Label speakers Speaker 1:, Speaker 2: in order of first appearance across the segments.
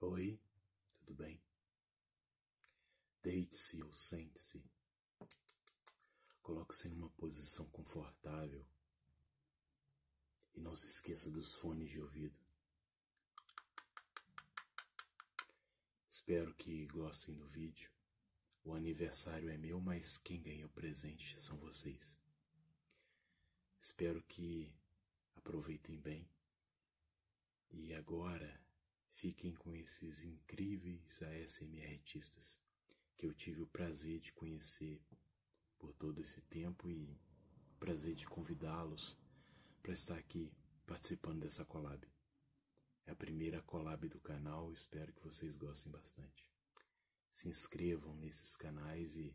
Speaker 1: Oi, tudo bem? Deite-se ou sente-se. Coloque-se em uma posição confortável. E não se esqueça dos fones de ouvido. Espero que gostem do vídeo. O aniversário é meu, mas quem ganha o presente são vocês. Espero que aproveitem bem e agora fiquem com esses incríveis ASMR artistas que eu tive o prazer de conhecer por todo esse tempo e prazer de convidá-los para estar aqui participando dessa colab. É a primeira colab do canal, espero que vocês gostem bastante. Se inscrevam nesses canais e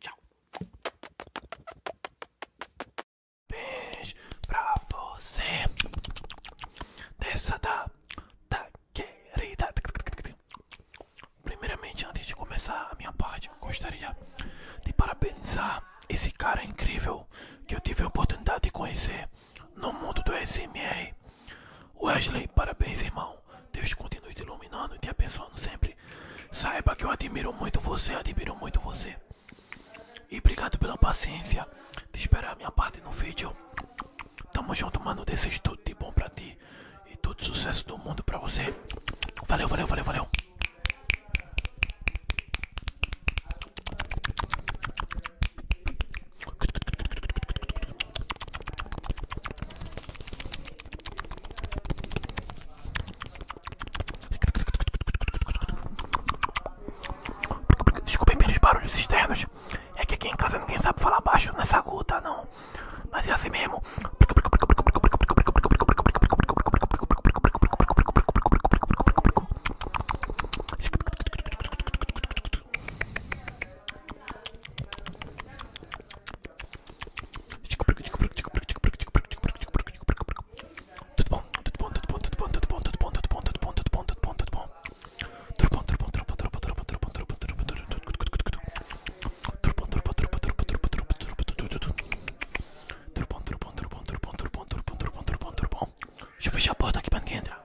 Speaker 1: Tchau. Beijo pra você. Dessa da, da querida. Primeiramente, antes de começar a minha parte, gostaria de parabenizar esse cara incrível que eu tive a oportunidade de conhecer no mundo do SMR. Wesley, parabéns, irmão. Deus continue te iluminando e te abençoando sempre. Saiba que eu admiro muito você, admiro muito você. E obrigado pela paciência de esperar a minha parte no vídeo. Tamo junto, mano. Desejo tudo de bom pra ti. E todo sucesso do mundo pra você. Valeu, valeu, valeu, valeu. Desculpem pelos barulhos externos. É que aqui em casa ninguém sabe falar baixo nessa rua, tá? Não. Mas é assim mesmo. Tudo bom, tudo bom, tudo bom, tudo bom, tudo bom, tudo bom, tudo bom, tudo bom, tudo bom, tudo bom, tudo bom. Turbon, turbon, turbon, turbon, turbon, turbon, turbon, turbon, turbon, turbon, turbon, turbon, turbon, turbon, turbon, turbon, turbon, Deixa eu fechar a porta aqui pra ninguém entrar.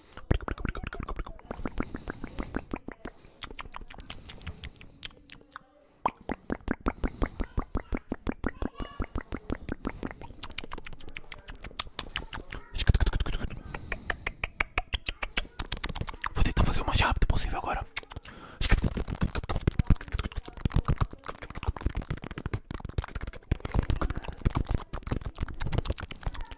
Speaker 1: Vou tentar fazer o mais rápido possível agora.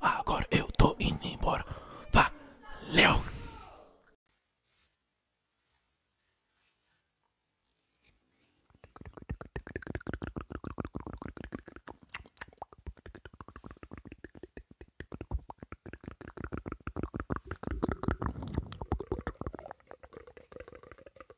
Speaker 1: Agora eu tô indo embora. Valeu!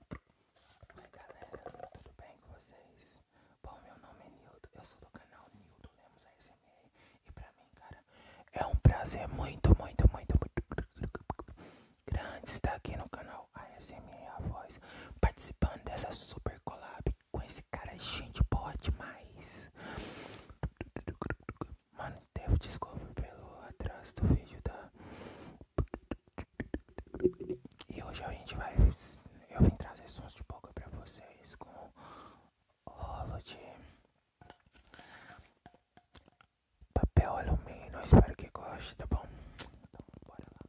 Speaker 1: Oi galera, tudo bem com vocês? Bom, meu nome é Nildo, eu sou do canal Nildo Lemos ASMR E pra mim, cara, é um prazer muito, muito, muito, muito grande estar aqui no canal ASMR A Voz Participando dessa super collab com esse cara, gente pode mais Mano, devo descobrir pelo atraso do vídeo, tá? E hoje a gente vai. Eu vim trazer sons de boca pra vocês com rolo de papel alumínio. Espero que goste, tá bom? Então, bora lá.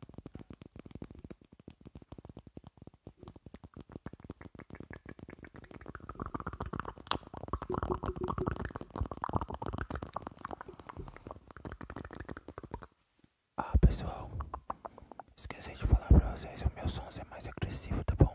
Speaker 1: Ah, pessoal, esqueci de falar pra vocês, o meu som é mais agressivo, tá bom?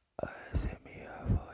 Speaker 1: Essa é minha voz.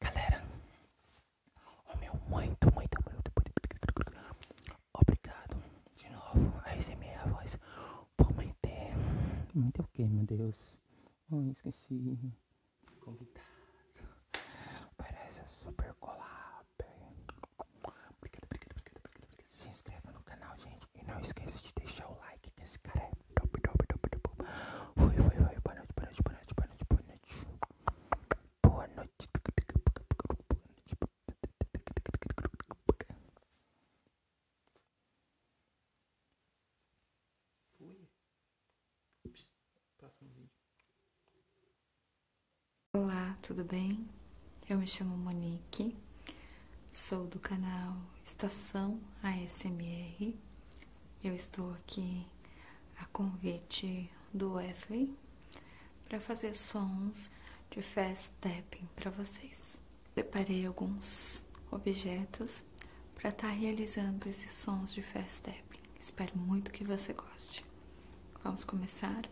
Speaker 1: Galera, o meu muito, muito, muito, obrigado de novo a esse minha voz por manter. Manter o que, meu Deus? Oh, esqueci convidado. Parece super collab. Obrigado, obrigado, obrigado, obrigado. Se inscreva no canal, gente. E não esqueça de deixar o like, que esse cara é top, top, top, top. Foi, foi, foi. Boa noite, boa noite, boa noite, boa noite, boa noite. Boa noite. Fui.
Speaker 2: Olá, tudo bem? Eu me chamo Monique, sou do canal Estação ASMR. Eu estou aqui a convite do Wesley para fazer sons de fast tapping para vocês. Separei alguns objetos para estar tá realizando esses sons de fast tapping. Espero muito que você goste. Vamos começar?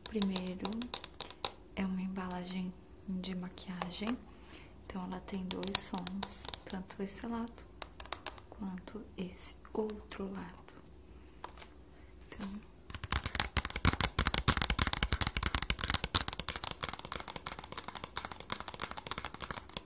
Speaker 2: O primeiro é uma embalagem de maquiagem. Então ela tem dois sons, tanto esse lado quanto esse outro lado. Então,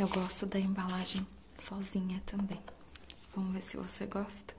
Speaker 2: Eu gosto da embalagem sozinha também. Vamos ver se você gosta.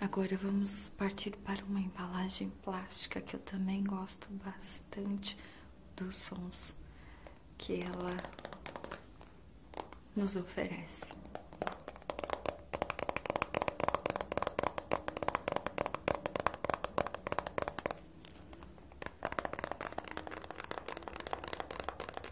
Speaker 2: Agora vamos partir para uma embalagem plástica que eu também gosto bastante dos sons que ela nos oferece.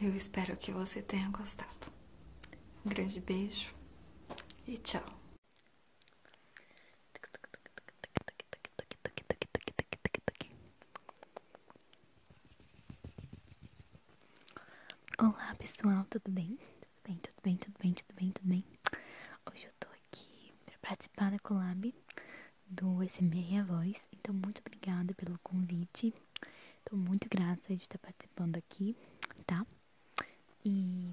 Speaker 2: Eu espero que você tenha gostado. Um grande beijo e tchau! Olá pessoal, tudo bem? Tudo bem, tudo bem, tudo bem, tudo bem, tudo bem? Hoje eu tô aqui para participar da collab do SMR A Voz, então muito obrigada pelo convite. Tô muito grata de estar participando aqui, tá? E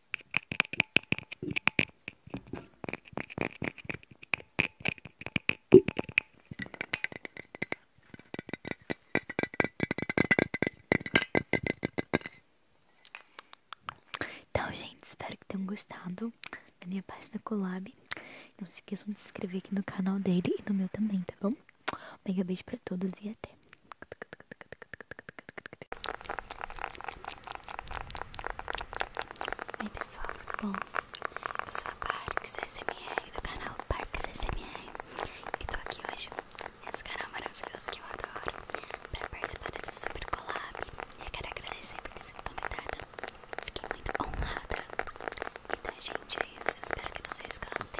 Speaker 2: Então, gente, espero que tenham gostado da minha página Collab. Não se esqueçam de se inscrever aqui no canal dele e no meu também, tá bom? Mega beijo pra todos e até! Oi pessoal, tudo bom? Eu sou a Parks SMR do canal Parks SMR e tô aqui hoje nesse canal maravilhoso que eu adoro para participar desse super collab e eu quero agradecer por ter sido convidada, fiquei muito honrada. Então gente, é isso, espero que vocês gostem.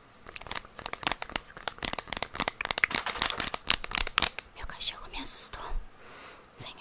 Speaker 2: Meu cachorro me assustou, Senhor.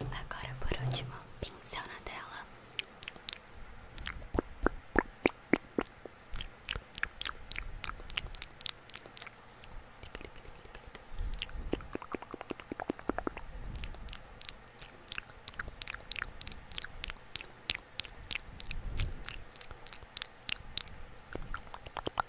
Speaker 1: Agora, por último, pincel na tela.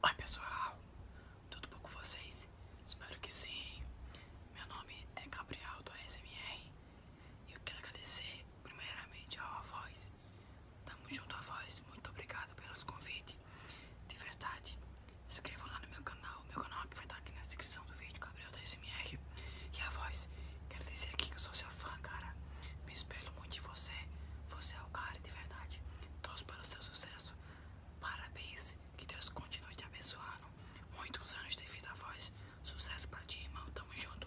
Speaker 1: Oi pessoal, tudo bom com vocês? Espero que sim. Meu nome é Gabriel do SMR
Speaker 2: e eu quero agradecer primeiramente a Voz. Tamo junto a Voz, muito
Speaker 1: obrigado pelos convites. De verdade, inscrevam lá no meu canal, meu canal que vai estar aqui na descrição do vídeo, Gabriel do SMR e a Voz. Quero dizer aqui que eu sou seu fã, cara. Me espelho muito de você. Você é o cara de verdade. Todos para o seu sucesso. Parabéns. Que Deus continue te abençoando. Muitos anos de vida, voz. Sucesso pra ti, irmão. Tamo junto.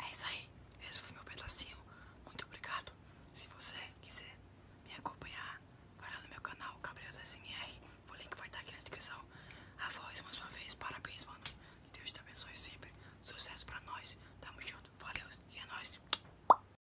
Speaker 1: É isso aí, esse foi meu pedacinho. Muito obrigado. Se você quiser me acompanhar, vai lá no meu canal Gabriel SMR. O link vai estar aqui na descrição. A voz, mais uma vez, parabéns, mano. Deus te abençoe sempre. Sucesso pra nós. Tamo junto. Valeu e é nóis.